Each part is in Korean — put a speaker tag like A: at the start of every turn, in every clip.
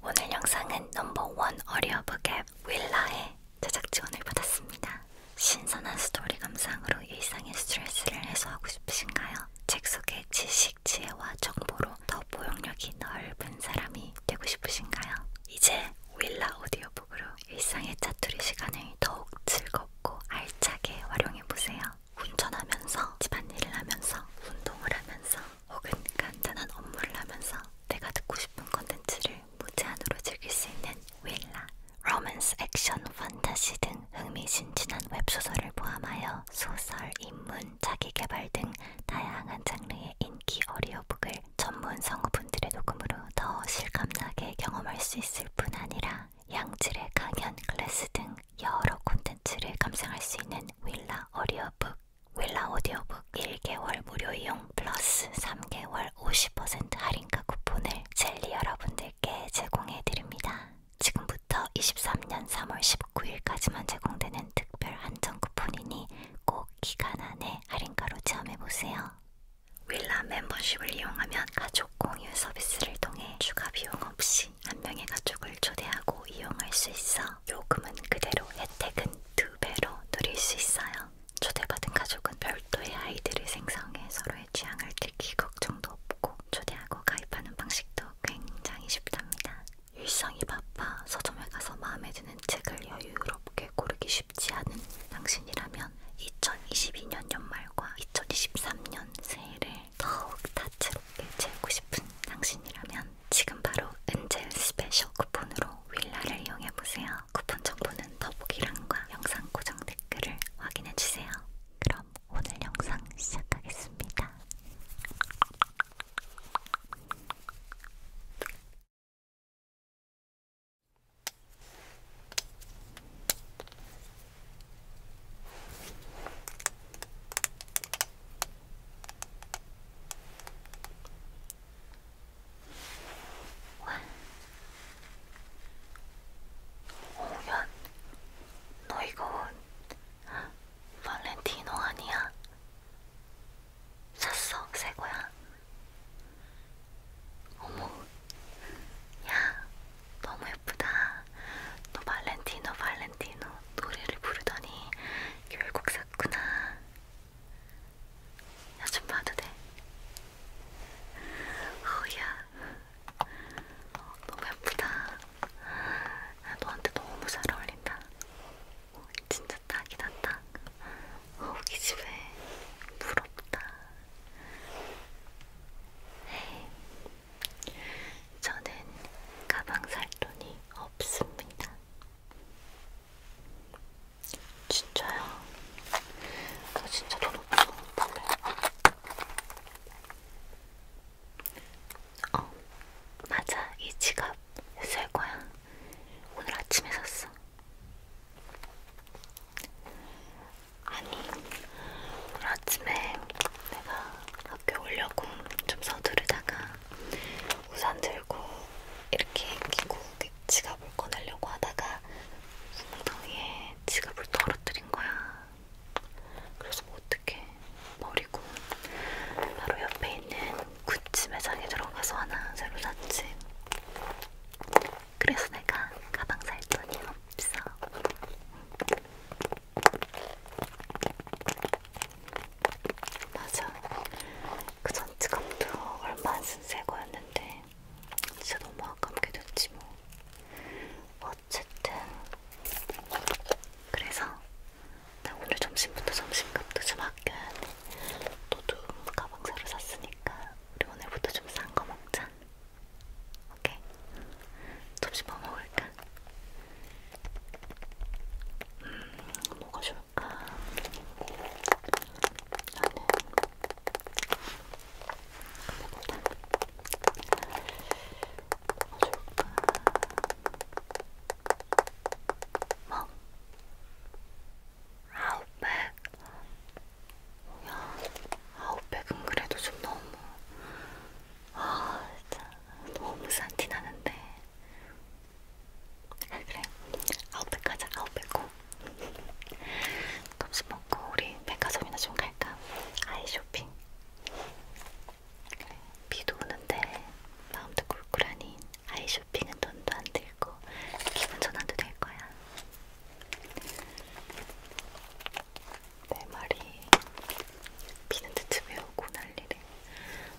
A: 오늘 영상은 넘버원 어리어북 앱 윌라의 제작 지원을 받았습니다. 신선한 스토리 감상으로 일상의 스트레스를 해소하고 싶으신가요? 책 속의 지식, 지혜와 정보로 더 포용력이 넓은 사람이 되고 싶으신가요? 이제 윌라 오디오북으로 일상의 짜투리 시간을 더욱 즐겁고 알차게 활용해보세요. 운전하면서, 집안일을 하면서, 운동을 하면서 혹은 간단한 업무를 하면서 내가 듣고 싶은 컨텐츠를 무제한으로 즐길 수 있는 윌라, 로맨스, 액션, 판타지 등 흥미진진한 웹소설을 포함하여 소설, 인문, 자기개발 등 다양한 장르의 인기 어리어북을 전문 성우분들의 녹음으로 더 실감나게 경험할 수 있을 뿐 아니라 양질의 강연, 클래스 등 여러 콘텐츠를 감상할 수 있는 윌라 어리어북 윌라 오디오북 1개월 무료 이용 플러스 3개월 50% 할인가 쿠폰을 젤리 여러분들께 제공해드립니다. 지금부터 23년 3월 19일까지만 제공되는 특별 한정 쿠폰이니 꼭 기간 안에 할인가로 체험해보세요. 윌라 멤버십을 이용하면 가족 공유 서비스를 통해 추가 비용 없이 한 명의 가족을 초대하고 이용할 수 있어 요금은 그대로 혜택은 두 배로 누릴 수 있어요. 초대받은 가족은 별도의 아이들을 생성해 서로의 취향을 들킬 걱정도 없고 초대하고 가입하는 방식도 굉장히 쉽답니다. 일상이 바빠 서점에 가서 마음에 드는 책을 여유롭게 고르기 쉽지 않은 당신이라면 2022년 연말과 2023년 새해를 더욱 다채롭게 채우고 싶은 당신이라면 지금 바로 은젤 스페셜 쿠폰으로 윌라를 이용해보세요. 쿠폰 정보는 더보기란과 영상 고정 댓글을 확인해주세요. 그럼 오늘 영상 시작하겠습니다. 오면 너 이거 발렌티노 아니야? 샀어 새 거야? 어머 야 너무 예쁘다 너 발렌티노 발렌티노 노래를 부르더니 결국 샀구나 나좀 봐도 돼? 어우야 어, 너무 예쁘다 야, 너한테 너무 잘 어울린다 어, 진짜 딱이다 딱 어, 어우 기집애 부럽다 에이, 저는 가방 살 돈이 없습니다. 진짜야? 나 진짜 돈 없어. 담배. 어, 맞아. 이 지갑 쓸 거야. 오늘 아침에 샀어. 아니, 오늘 아침에 내가 학교 오려고 좀 서두르다가 우산 들고 들고 이렇게 끼고 지갑을 꺼내려고 하다가 엉덩이에 지갑을 떨어뜨린 거야. 그래서 뭐 어떻게 버리고 바로 옆에 있는 구찌 매장에 들어가서 하나 새로 샀지. 그래서 내가 가방 살 돈이 없어. 맞아. 그전 지갑도 얼마 안 쓴 새 거였는데 진짜 너무 아깝게 됐지 뭐. 어쨌든 그래서 나 오늘 점심부터 점심값도 좀 아껴야 돼. 너도 가방 새로 샀으니까 우리 오늘부터 좀 싼 거 먹자. 오케이. 점심 뭐 먹을까? 음, 뭐가 좋을까? 나는 그거보다 뭐 좋을까? 뭐? 아웃백? 뭐야? 아웃백은 그래도 좀 너무 아 진짜 너무 산티 나는데 아, 그래 아웃백 가자 아웃백 고 점심 먹고 우리 백화점이나 좀 갈까? 아이 쇼핑 그래 비도 오는데 마음도 꿀꿀하니 아이 쇼핑은 돈도 안 들고 기분 전환도 될 거야 내 말이 비는 대체 왜 오고 난리래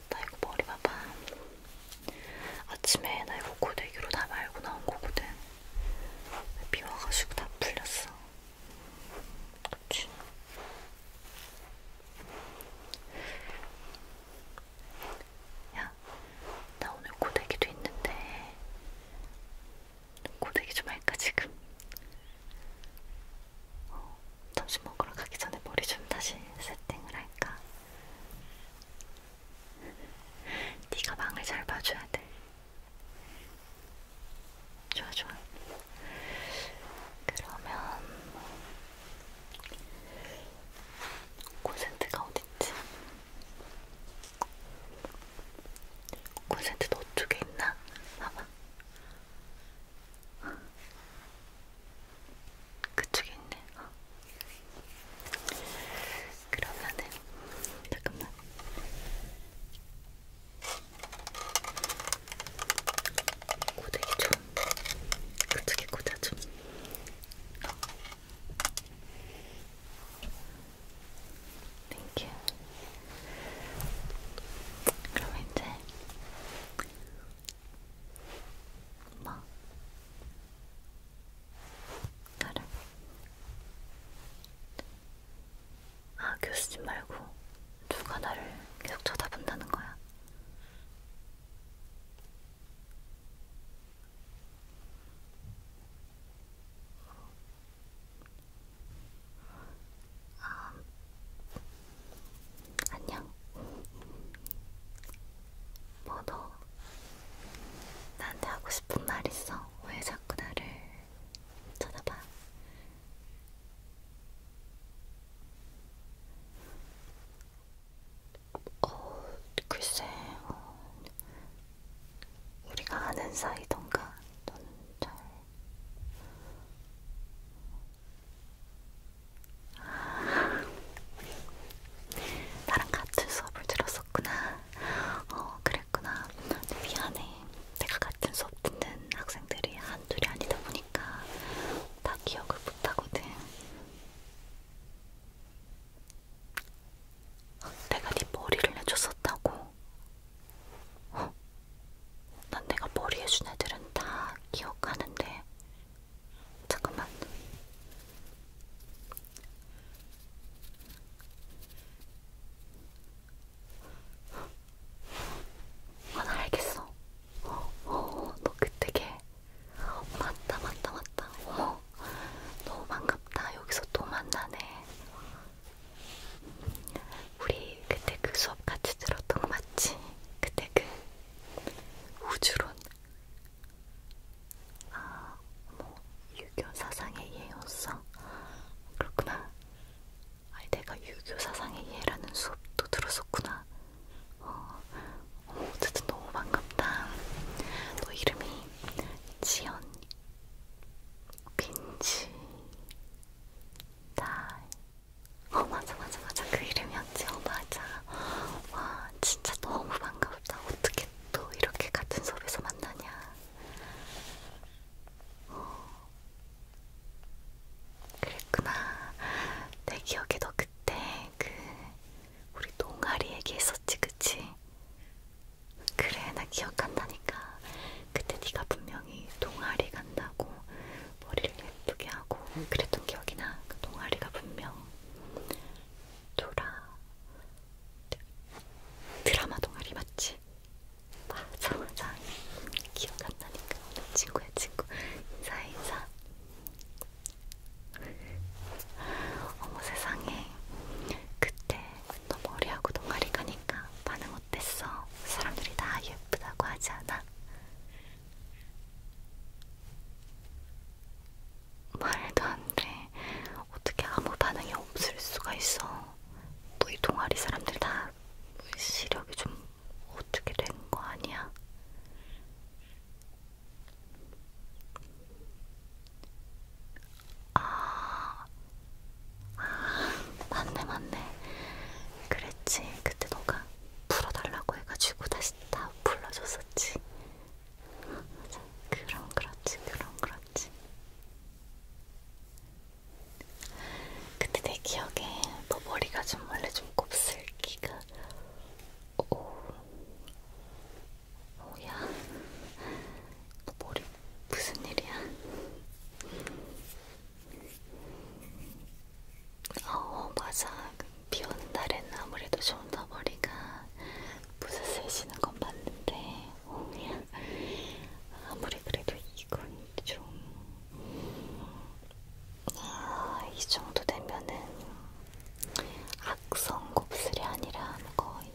A: 나 이거 머리 봐봐 아침에 나 이거 고데기로 다 말고 나온 거거든. 비 와가지고 다 풀렸어. 그치? 야, 나 오늘 고데기도 있는데 고데기 좀 할까 지금? 어, 점심 먹으러 가기 전에 머리 좀 다시 세팅을 할까? 네가 망을 잘 봐줘야 돼. 좋아 좋아. 그러면 콘센트가 어딨지? 콘센트 너쪽에 있나? 봐봐. 그쪽에 있네. 어. 그러면은 잠깐만. 고데기 좀 그쪽에 꽂아 좀. 어. 땡큐. 그럼 이제 뭐? 나를? 아, 교수님 말고 누가 나를 계속 쳐다본다는 거야? 아, 안녕. 뭐너 나한테 하고 싶은 말 있어? 왜 자꾸 나를 쳐다봐? 어, 글쎄, 어, 우리가 아는 사이던가, 넌잘 나랑 같은 수업을 들었었구나. 어, 그랬구나. 미안해. 내가 같은 수업 듣는 학생들이 한둘이 아니다 보니까 다 기억을 못하거든. 내가 네 머리를 해줬었다고? 어? 난 내가 머리 해준 애들은 다 기억하는데 잠깐만. 아, 나 알겠어. 어, 어, 너 그때 걔. 어, 맞다, 맞다, 맞다. 어, 너무 반갑다. 여기서 또 만나네. 우리 그때 그 수업 같이 들었던 거 맞지? 그때 그 우주론 아, 뭐 유교 사상의 예였어? 그렇구나. 아니 내가 유교 사상의 예라는 수업도 들었었구나. 어, 어쨌든 너무 반갑다. 너 이름이 지연 빈지 다이 어 맞아 맞아 맞아 그 이름이었지 어 맞아 와 진짜 너무 반갑다 어떻게 또 이렇게 같은 수업에서 만나냐 어, 그랬구나 내 기억에 너 그때 그 우리 동아리 얘기했었지 그치? 그래 나 기억한다니까 그때 네가 분명히 동아리 간다고 머리를 예쁘게 하고 그랬던 기억이 나. 그 동아리가 분명 돌아 드라마 동아리 맞지? 맞아 맞아 기억 안 나니까 오늘 친구야 친구 인사 인사 어머 세상에 그때 너 머리하고 동아리 가니까 반응 어땠어? 사람들이 다 예쁘다고 하지 않아? 말도 안 돼. 어떻게 아무 반응이 없을 수가 있어. 너희 동아리 사람들 다 시력이 좀 어떻게 된 거 아니야? 아, 아, 맞네, 맞네. 그랬지. 그때 너가 풀어달라고 해가지고 다시 다 불러줬었지. 맞아. 그럼 그렇지, 그럼 그렇지. 그때 내 기억에 너 머리가 좀 원래 좀 곱슬기가 오 뭐야? 너 머리 무슨 일이야? 어 맞아 그 비 오는 날에는 아무래도 좀더 머리가 부스스해지는 건 맞는데 아무리 그래도 이건 좀아이 정도 되면은 악성 곱슬이 아니라 거의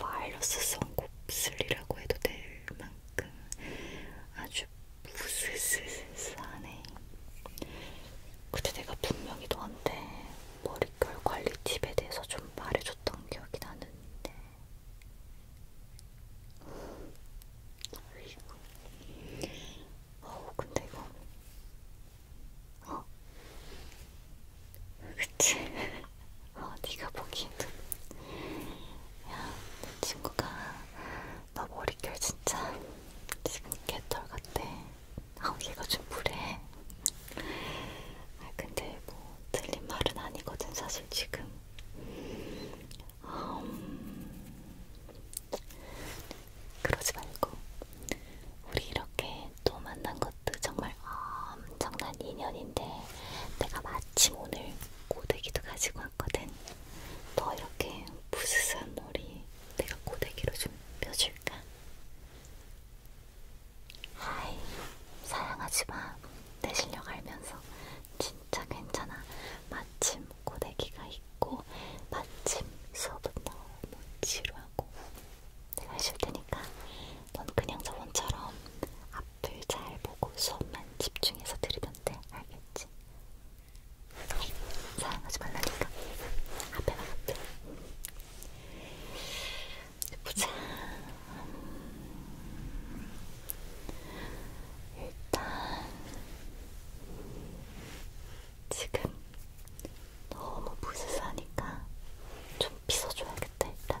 A: 바이러스성 곱슬이라고 해도 될 만큼 아주 부스스스하네. 그때 내가 분명히 너한테 머릿결 관리 팁에 대해서 좀 말해줬던 기억이 나는데. 어우, 근데 이거. 어? 그치? 어, 네가 보기에도. 야, 내 친구가 나 머릿결 진짜 지금 개털 같아. 아, 얘가 좀 무례해. 아, 근데 뭐 틀린 말은 아니거든 사실 지금. 음, 그러지 말고 우리 이렇게 또 만난 것도 정말 엄청난 인연인데 내가 마침 오늘 고데기도 가지고 왔거든. 너 이렇게 부스스한 머리 내가 고데기로 좀 펴줄까? 하이, 사양하지 마. 내 실력 알면서 진짜 괜찮아. 마침 고데기가 있고 마침 수업은 너무 지루하고 내가 해줄 테니까 넌 그냥 저번처럼 앞을 잘 보고 수업만 집중해서 들으면 돼. 알겠지? 사용하지 말라니까 앞에만 앞에 보자 일단 지금 너무 부스스하니까 좀 빗어줘야겠다 일단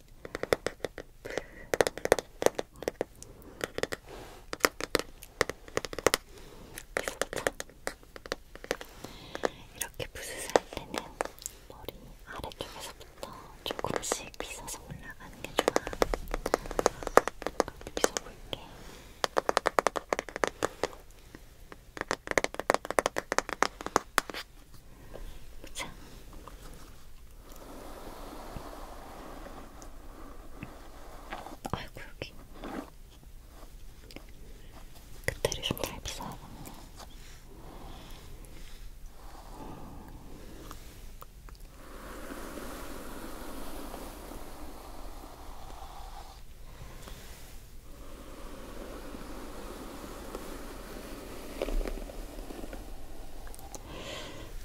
A: 이렇게 부스스 할 때는 머리 아래쪽에서부터 조금씩 빗어서 올라가는 게 좋아. 이렇게 빗어볼게. 보자. 아이고 여기. 그때를 좀잘 비싸야겠네. 음.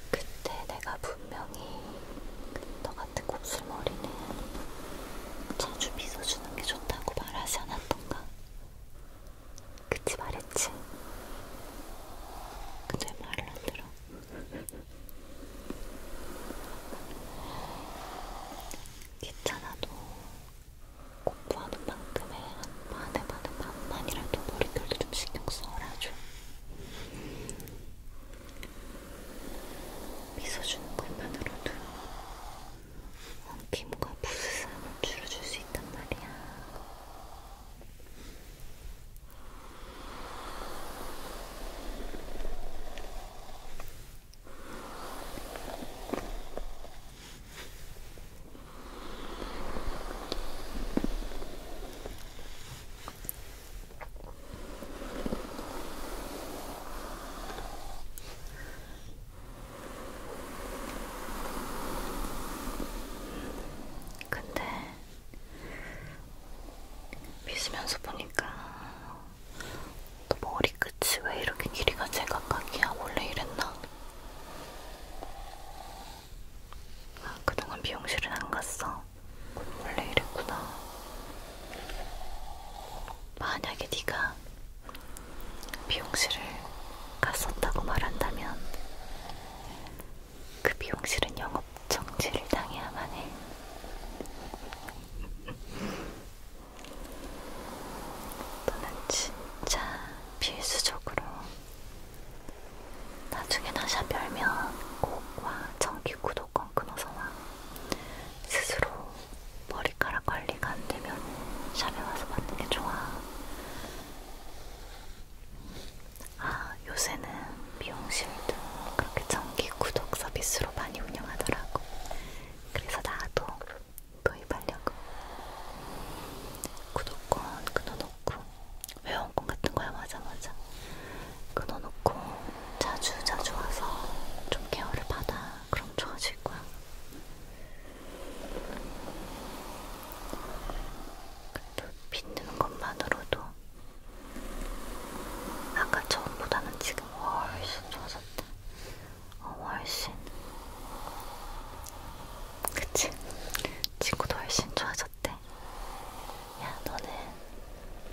A: 그때 내가 분명히 너 같은 곱슬머리는 자주 빗어주는 게 좋다고 말하지 않았던가? 그치 말했지? 근데 말을 안 들어. 귀찮아도 공부하는 만큼의 한 반에 반에 반만이라도 머릿결도 좀 신경 써라죠. 미소 주는 것만으로도 피부가 부스스함을 줄여줄 수 있단 말이야. 근데 빗으면서 보니까 또 머리끝이 왜 이렇게 길이가 제각각이야? 원래 이랬나? 아, 그동안 미용실은 안 갔어. 원래 이랬구나. 만약에 네가 미용실을 갔었다고 말한다면 그 미용실은 영업 정지를 당해야만 해. 너는 진짜 필수적으로 나중에 나샵 열면 꼭와 정기 구독권 끊어서 와 스스로 머리카락 관리가 안되면 샵에 와서 받는게 좋아 아 요새는 미용실도 그렇게 정기 구독 서비스로 많이 운영하더라고 그래서 나도 도입하려고 구독권 끊어놓고 회원권 같은 거야 맞아 맞아 끊어놓고 자주 자주 와서 좀 케어를 받아 그럼 좋아질 거야 그래도 빗는 것만으로도 아까 처음보다는 지금 훨씬 좋아졌다 어, 훨씬 그치? 친구도 훨씬 좋아졌대 야 너는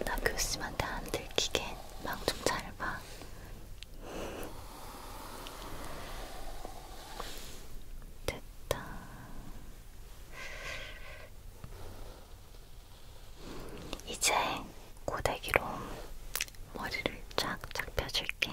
A: 나 교수님한테 안 들키게 망좀 잘 봐 됐다 이제 고데기로 머리를 쫙쫙 펴줄게.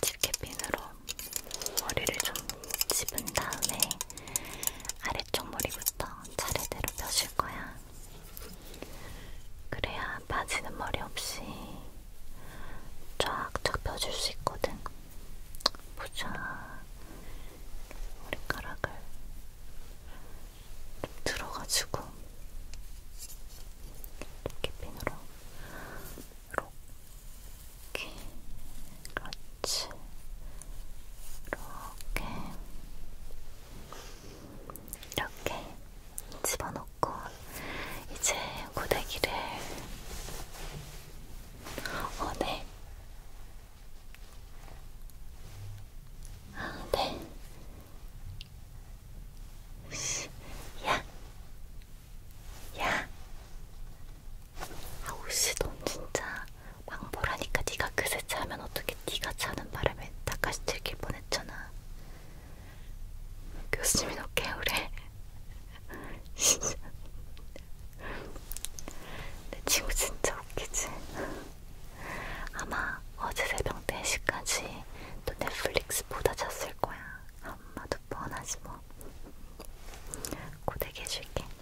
A: 집게핀으로 머리를 좀 집은 다음에 아래쪽 머리부터 차례대로 펴실 거야. 그래야 빠지는 머리 없이 쫙쫙 펴줄 수 있거든. 보자. 머리카락을 들어가지고 이렇게 핀으로 이렇게 그렇지 그렇지. 이렇게. 이렇게 집어넣고 이제 고데기를 어, 네. 아, 네. 야. 야. 아우씨 넌 진짜 망보라니까 네가 그새 차면 어떻게 네가 차는 바람에 닦아시 들킬 뻔했잖아 교수님이 너 개울해 진짜 내 친구 진짜 웃기지 아마 어제 새벽 4시까지 또 넷플릭스 보다 잤을 거야 엄마도 뻔하지 뭐 고데기 해줄게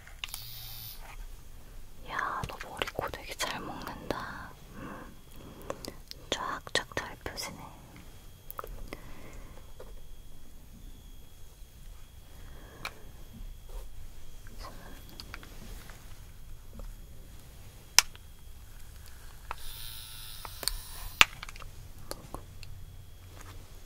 A: 야, 너 머리 코 되게 잘 먹는다. 음. 쫙쫙 잘 펴지네. 음.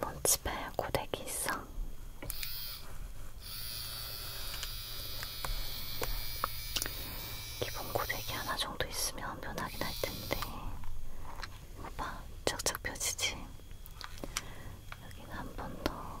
A: 넌 집에 고데기 있어? 기본 고데기 하나 정도 있으면 면하긴 할 텐데. 봐, 쫙쫙 펴지지. 여기는 한 번 더.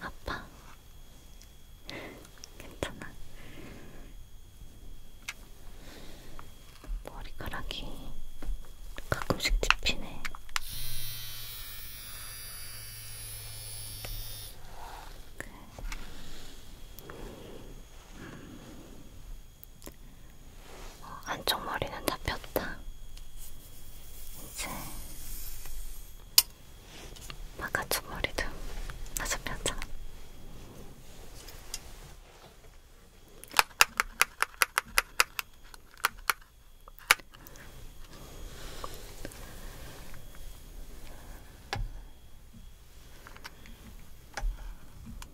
A: 아파. 괜찮아. 머리카락이 가끔씩 찝히네. 그래. 음. 어, 안쪽 머리는 다 폈다. 이제 바깥쪽 머리도 다 잡혔잖아.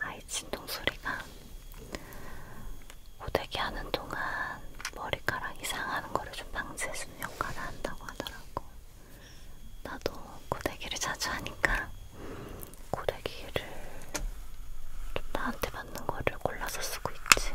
A: 아이 진동 소리가 고데기 하는 동안 머리카락이 상하는 거를 좀 방지해주는 역할을 한다고 하더라고. 나도 고데기를 자주 하니까 고데기를 좀 나한테 맞는 거를 골라서 쓰고 있지.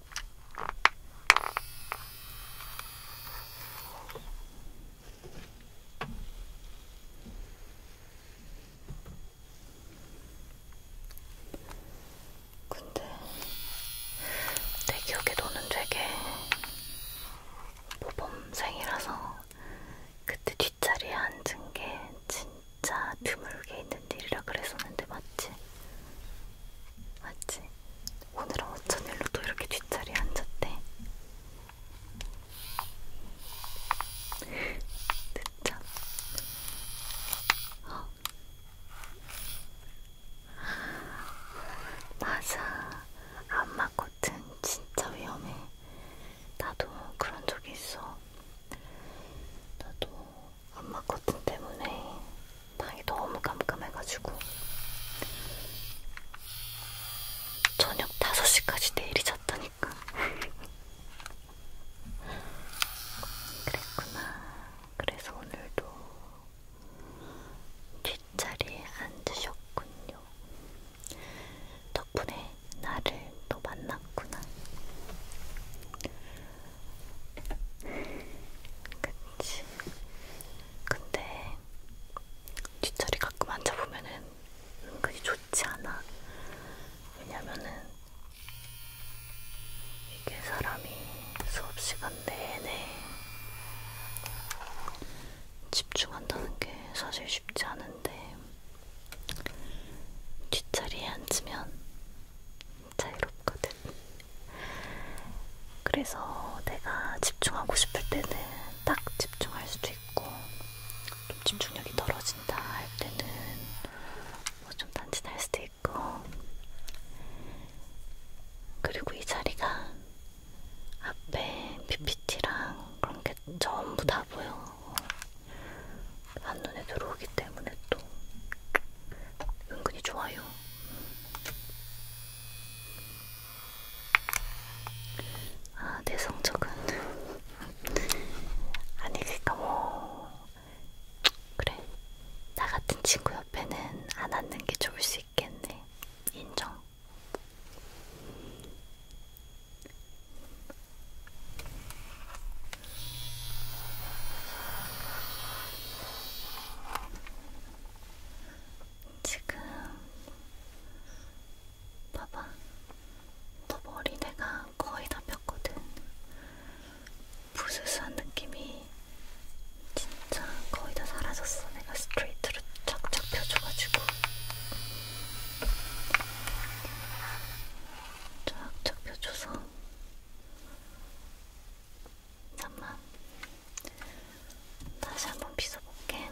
A: 근데 내 기억에 너는 되게 모범생이라서 그때 뒷자리에 앉은 게 진짜 드물게 있는 일이라 그랬었는데 맞지? 맞지? 오늘은 어쩐 일로 또 이렇게 뒷자리에 앉았대? 늦잠 어? 맞아 안마코튼 진짜 위험해 나도 그런 적이 있어 나도 엄마 코튼 때문에 방이 너무 깜깜해가지고 저녁 5시까지 내일이 잤다니까 그랬구나 그래서 오늘도 뒷자리에 앉으셨군요 덕분에 나를 또 만났구나 그치. 근데 뒷자리 가끔 앉아보면은 은근히 좋지 않아. 왜냐면은 이게 사람이 수업 시간 내내 집중한다는 게 사실 쉽지 않은데 뒷자리에 앉으면 자유롭거든. 그래서 내가 집중하고 싶을 때는 딱 집중할 수도 있고, 좀 집중력이 떨어진다 할 때는 뭐 좀 단진할 수도 있고, 그리고 이 자리가 앞에 PPT랑 그런 게 전부 다 보여. 한눈에 들어오기 때문에 또 은근히 좋아요. 아, 내 성적은 아니 그니까 뭐 그래 나 같은 친구 옆에는 안 앉는 게 좋을 수 있겠네. 인정. 지금 봐봐, 너 머리 내가 거의 다 폈거든. 부스스한 느낌이 진짜 거의 다 사라졌어. 내가 스트레이트로 착착 펴줘가지고. 쫙쫙 펴줘서 잠만 다시 한 번 빗어볼게.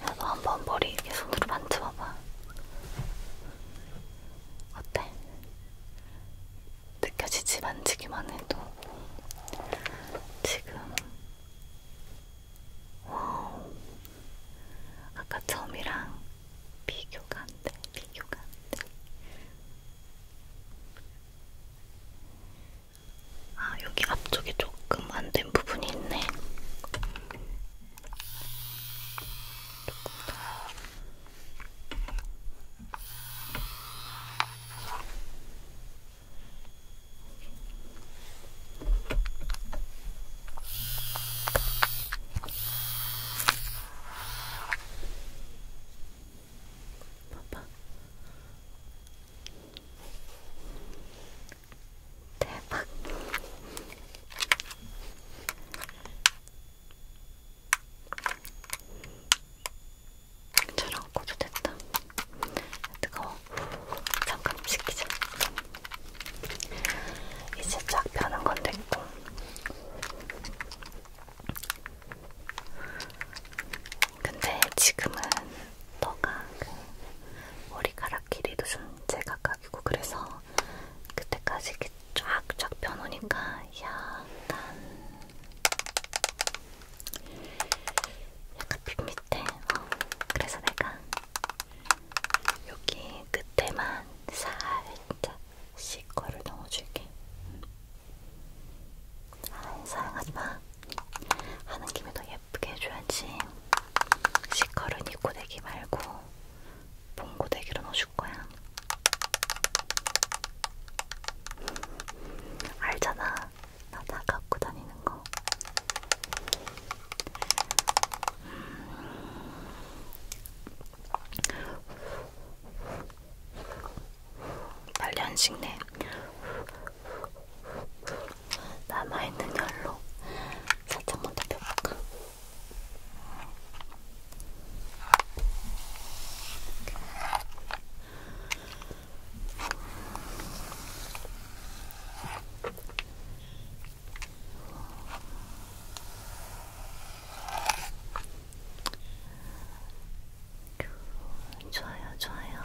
A: 나도 한번 머리 이렇게 손으로 만져봐봐. 어때? 느껴지지 만지기만 해도 지금 와우 아까 처음이랑 비교가 안돼 비교가 안돼 아 여기 앞쪽이 조금 안돼 잘못된 부분이 있네. 봐봐. 대박. 저런 고도 됐다. 뜨거워. 잠깐 식히자. 이제 쫙 펴는 건 됐고. 근데 지금은 너가 그 머리카락 길이도 좀 제각각이고 그래서 그때까지 이렇게 쫙쫙 펴놓으니까 약간 약간 빗 밑에 어, 그래서 내가 여기 끝에만 살짝 시커를 넣어줄게 음. 아 사용하지마 하는 김에 더 예뻐 예쁘게 해줘야지. 시컬은 이 고데기 말고 봉 고데기로 넣어줄 거야. 알잖아. 나 다 갖고 다니는 거. 음. 빨리 안 식네. 남아있는 열로 살짝만 더 펴볼까? 좋아요, 좋아요.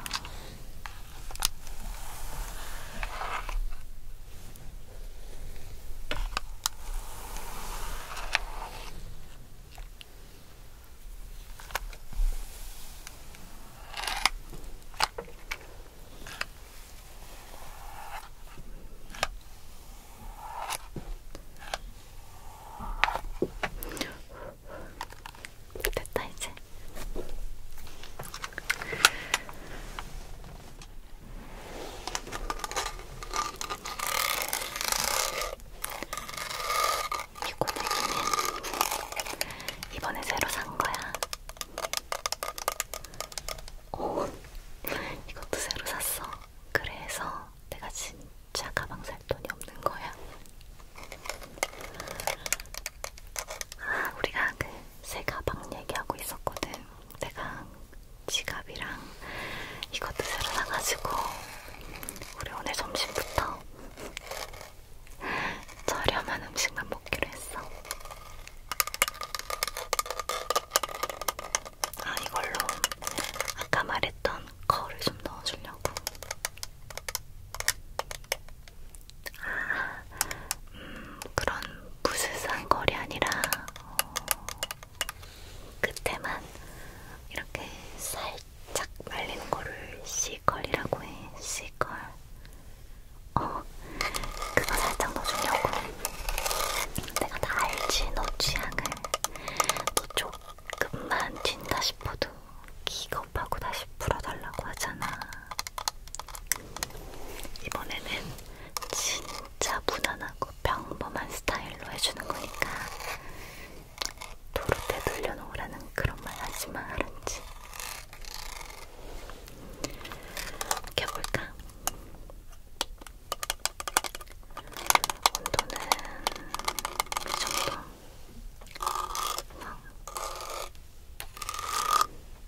A: 됐다 이제 이 고데기는 이번에 새로 산 거야. 오, 이것도 새로 샀어. 그래서 내가 진짜 가방 살 돈이 없는 거야. 아, 우리가 그새 가방 얘기하고 있었거든. 내가 지갑이랑 이것도 새로 사가지고 우리 오늘 점심부터 저렴한 음식만 먹기로 했어. 아 이걸로 아까 말했던 거를 좀 넣어주려고. 음, 그런 부스스한 거리 아니라 어, 끝에만 이렇게 살짝 말리는 거를 C컬이라고 해. C컬. 어, 그거 살짝 넣어주려고. 내가 다 알지, 너 취향을. 너 조금만 튄다 싶어도 기겁하고 다시 풀어달라고 하잖아. 이번에는 진짜 무난하고 평범한 스타일로 해주는 거니까 도로 때 돌려놓으라는 그런 말 하지마 알았지? 껴볼까? 온도는 이 정도. 어.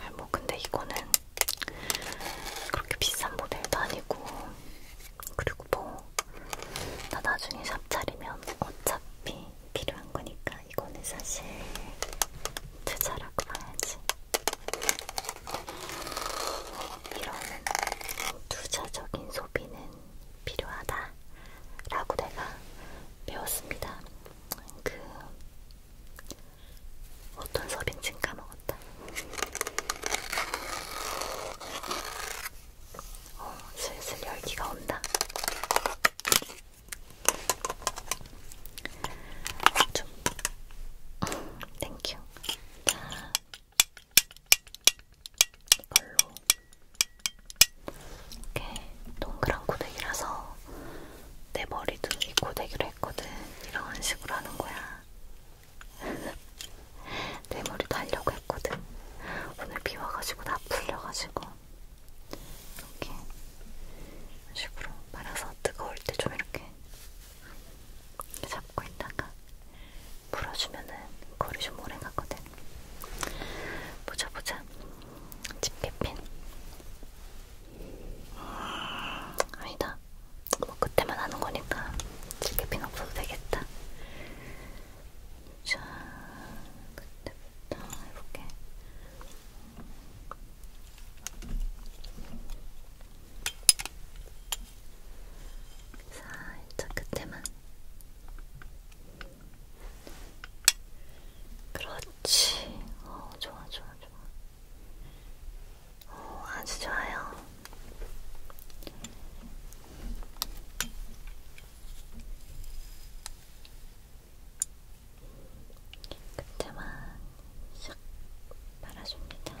A: 아니 뭐 근데 이거는 그렇게 비싼 모델도 아니고 그리고 뭐 나 나중에 샵 차리면 어차피 필요한 거니까 이거는 사실 투자라고 봐야지 이런 투자적인 소비는 필요하다라고 내가 배웠습니다. 그 어떤 섭인지 까먹었다. 어, 슬슬 열기가 온다. 좀, 땡큐. 음, 자, 이걸로 이렇게 동그란 고데기라서 내 머리도 이 고데기로 했거든. 이런 식으로 하는 거야. 내 머리도 하려고 했거든. 오늘 비 와가지고 다 풀려가지고. 이렇게 이런 식으로 말아서 뜨거울 때 좀 이렇게 잡고 있다가 풀어주면은 거리 좀 오래 가거든. 보자 보자. 집게핀. 음, 아니다. 뭐 그때만 하는 거니까 집게핀 없어도 되겠다. 자, 그때부터 해볼게. 살짝 그때만. 그렇지. 어, 좋아, 좋아, 좋아. 어, 아주 좋아요. 그때만 싹 말아줍니다.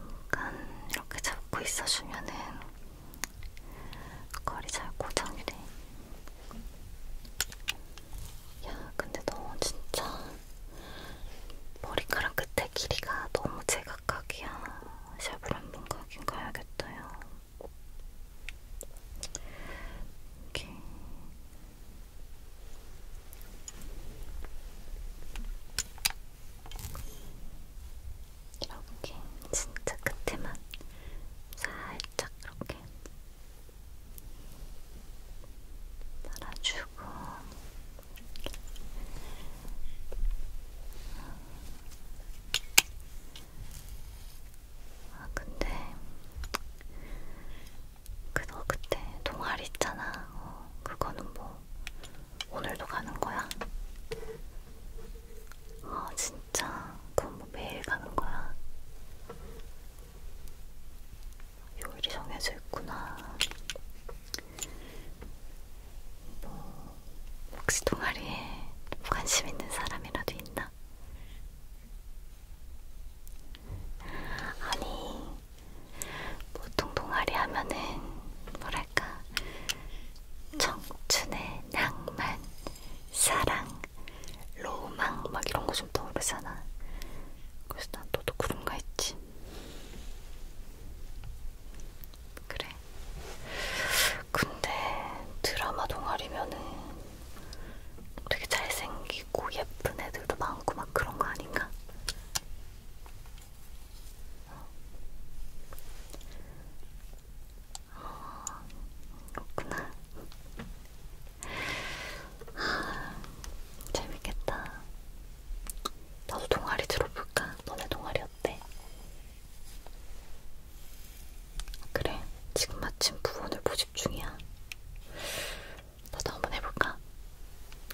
A: 잠깐 이렇게 잡고 있어주면은 거리 잘 고정이 돼. 야, 근데 너 진짜 머리카락 끝에 길이가 너무 제 각각이야. 샵을 한 번 가긴 가야겠다요. 이렇게. 이렇게 진짜 끝에만 살짝 이렇게 말아주고 아 근데 그너 그때 동아리 있잖아. 어, 그거는 뭐 오늘도 가는 거야? 아 진짜 그건 뭐 매일 가는 거야? 요일이 정해져 있구나. 뭐 혹시 동아리에 관심 있는 사람이라도 있나? 아니 보통 동아리 하면은 뭐랄까 청춘의 낭만, 사랑, 로망 막 이런 거 좀 떠오르잖아. 그래서 난 너도 그런가 했지. 그래. 근데 드라마 동아리면은 되게 잘생기고 예쁜 애들도 많고 막 그런 거 아닌가? 어, 그렇구나. 아, 재밌겠다. 나도 동아리 들어볼까? 너네 동아리 어때? 그래, 지금 마침 부분을 모집 중이야. 너도 한번 해볼까?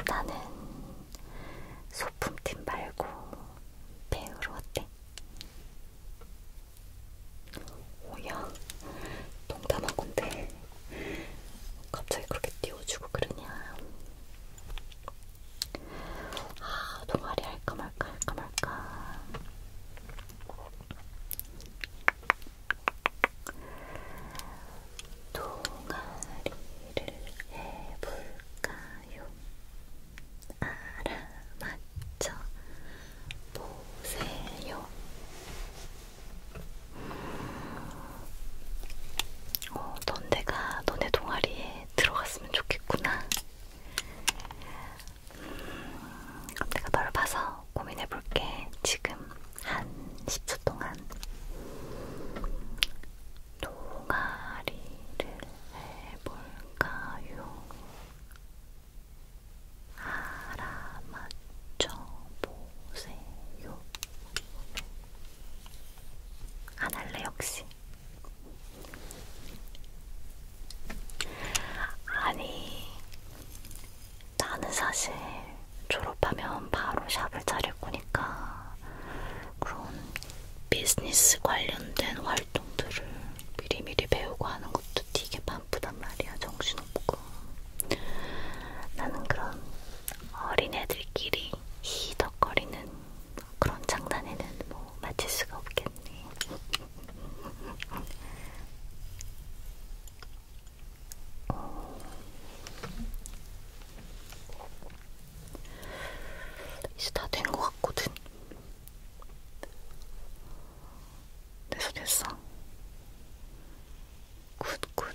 A: 나는 소품팀 말고 배우로 어때? 오야, 농담한 건데 갑자기 그렇게 띄워주고 그러냐? 아, 동아리 할까 말까 할까 말까. 동아리를 해볼까요? 알아맞혀 보세요. 어, 넌 내가 너네 동아리에 들어갔으면 좋겠구나. 내가 넓어서 고민해볼게. 지금 한 10초 동안 동아리를 해볼까요? 알아맞혀보세요. 안 할래 역시. 아니, 나는 사실 졸업하면 바로 샵을 차릴 거니까 그런 비즈니스 관련된 활동들을 미리미리 배우고 하는 것도 되게 바쁘단 말이야, 정신없고. 나는 그런 어린애들끼리 히덕거리는 그런 장난에는 뭐 맞출 수가 없겠네. 어... 이제 다 된 것 같거든. 됐어 됐어. 굿굿.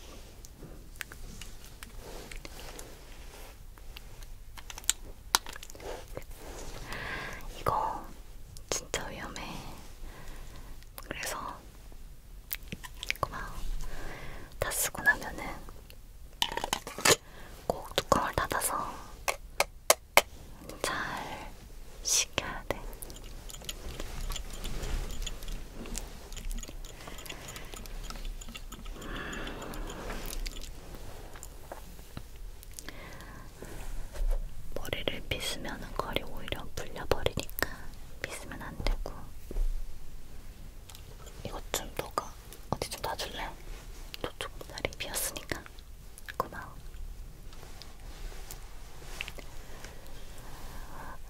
A: 이거 진짜 위험해. 그래서 고마워. 다 쓰고 나면은 꼭 뚜껑을 닫아서 잘 식혀야 돼. 음. 머리를 빗으면 거리 오히려 불려버리니까 빗으면 안 되고 이것 좀 너가 어디 좀 놔줄래? 저쪽 다리 비었으니까 고마워.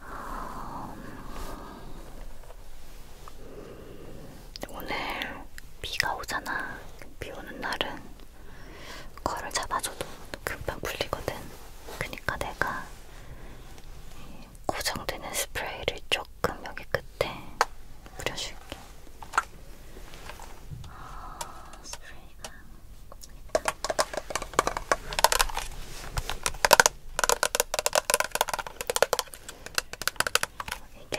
A: 음... 오늘 비가 오잖아. 비 오는 날은 거를 잡아줘도 금방 풀리거든. 그니까 내가 고정되는 스프레이를 조금 여기 끝에 뿌려줄게. 아, 스프레이가 있다. 이게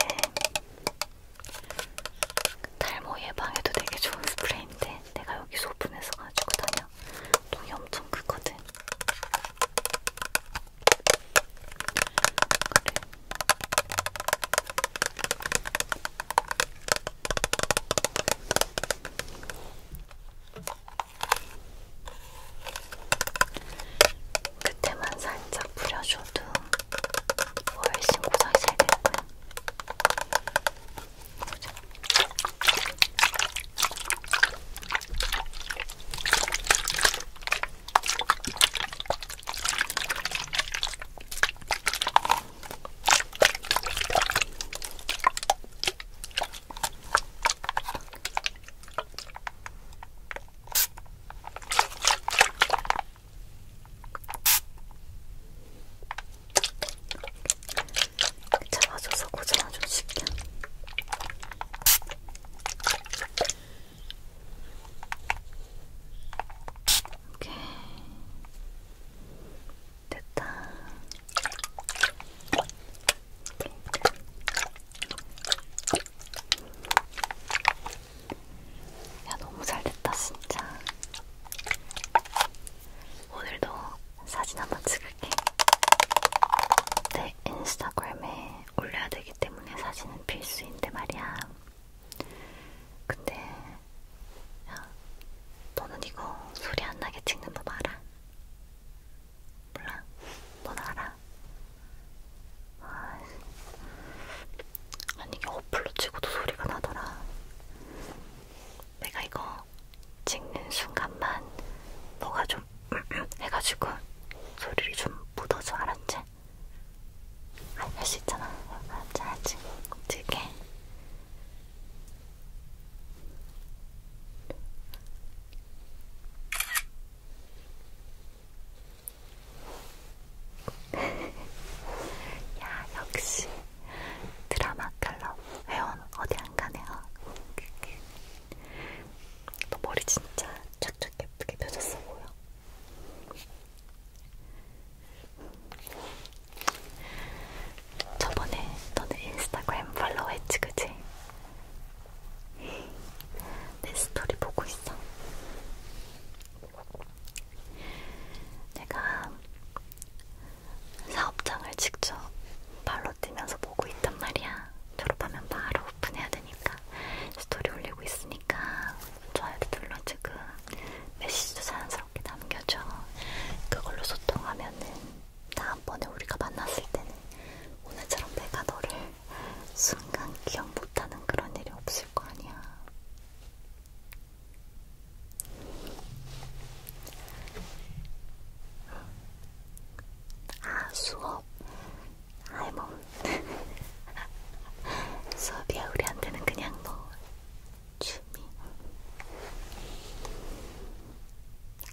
A: 탈모 예방에도 되게 좋은 스프레이인데 내가 여기 소분해서 가지고 다녀. 통이 엄청 크거든. 그래. 그때만 살짝 뿌려줘. 저도 훨씬 고생이 잘 되고요. 잡아줘서 고정을 좀 쉽게. 오케이. 됐다. 오케이. 야, 너무 잘됐다, 진짜. 오늘도 사진 한번 찍을게. 내 인스타그램에 올려야 되기 때문에 사진은 필수인데 말이야. 근데, 야, 너는 이거 소리 안 나게 찍는 법 알아? 몰라? 넌 알아? 아, 아니 이게 어플로 치고도 소리가 나더라. 내가 이거 찍는 순간만 뭐가 좀 해가지고 소리를 좀 묻어줘 알았지? 할 수 있잖아. 알았지 알았지. 찍게. 야 역시 드라마 칼럼 회원 어디 안 가네요. 너 머리 진짜 착착 예쁘게 펴졌어 보여. 저번에 너는 인스타그램 팔로우 했지 그지? 내 스토리 보고 있어. 내가 사업장을 직접 발로 뛰면서 보고 있단 말이야. 졸업하면 바로 오픈해야 되니까 스토리 올리고 있으니까 좋아요도 눌러 지금 메시지도 자연스럽게 남겨줘. 그걸로 소통하면은 다음번에 우리가 만났을 때는 오늘처럼 내가 너를 순간 기억 못하는 그런 일이 없을 거 아니야. 아, 수업. 아이, 뭐. 수업이야, 우리한테는 그냥 뭐, 취미.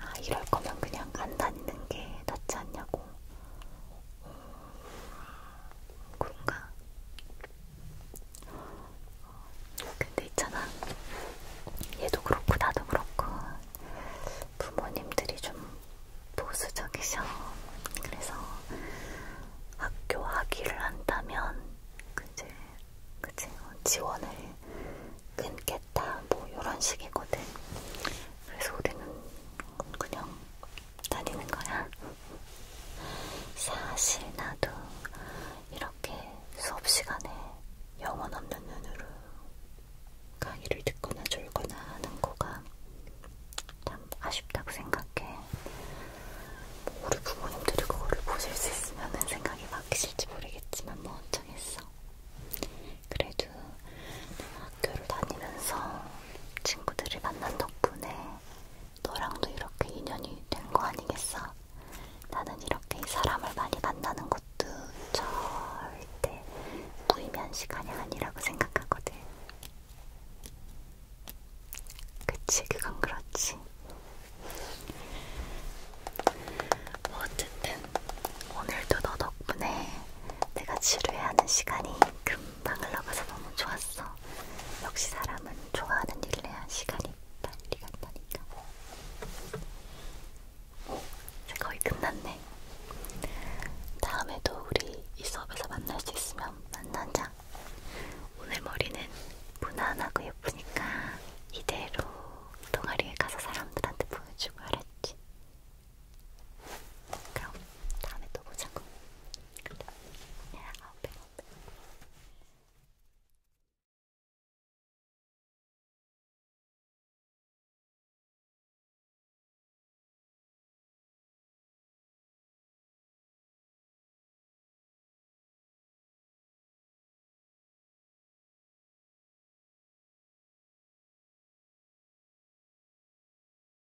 A: 아, 이럴 거면 그냥 안 다니는 게 낫지 않냐고. 그런가? 근데 있잖아. 얘도 그렇고 나도 그렇고 부모님들이 좀 보수적이셔. 그래서 학교 하기를 한다면 그제 그치 지원을 끊겠다 뭐 이런 식이거든. 그래서 우리는 그냥 다니는 거야? 사실 나도 이렇게 수업 시간에 영혼 없는 눈으로 강의를 듣거나 졸거나 하는 거가 참 아쉽다고 생각해. 뭐 우리 부모님들이 그거를 보실 수 있으면 생각이 바뀌실지 모르겠지만 뭐 어쩌겠어. 그래도 내가 학교를 다니면서 친구들을 만난 덕분에 너랑도 이렇게 인연이 된 거 아니겠어? 나는 이렇게 사람을 많이 만나는 것도 절대 무의미한 시간이 아니라고 생각하거든. 그치, 그건 그렇지. 뭐 어쨌든 오늘도 너 덕분에 내가 지루해하는 시간이 금방 방을 나가서 너무 좋았어. 역시 사람은 좋아하는 일을 해야 시간이 빨리 간다니까. 이제 거의 끝났네. 다음에도 우리 이 수업에서 만날 수 있으면 만나자. 오늘 머리는 무난하고 예쁘니까 이대로 동아리에 가서 사람들한테 보여주고 알았지? 그럼 다음에 또 보자고. 아, 배고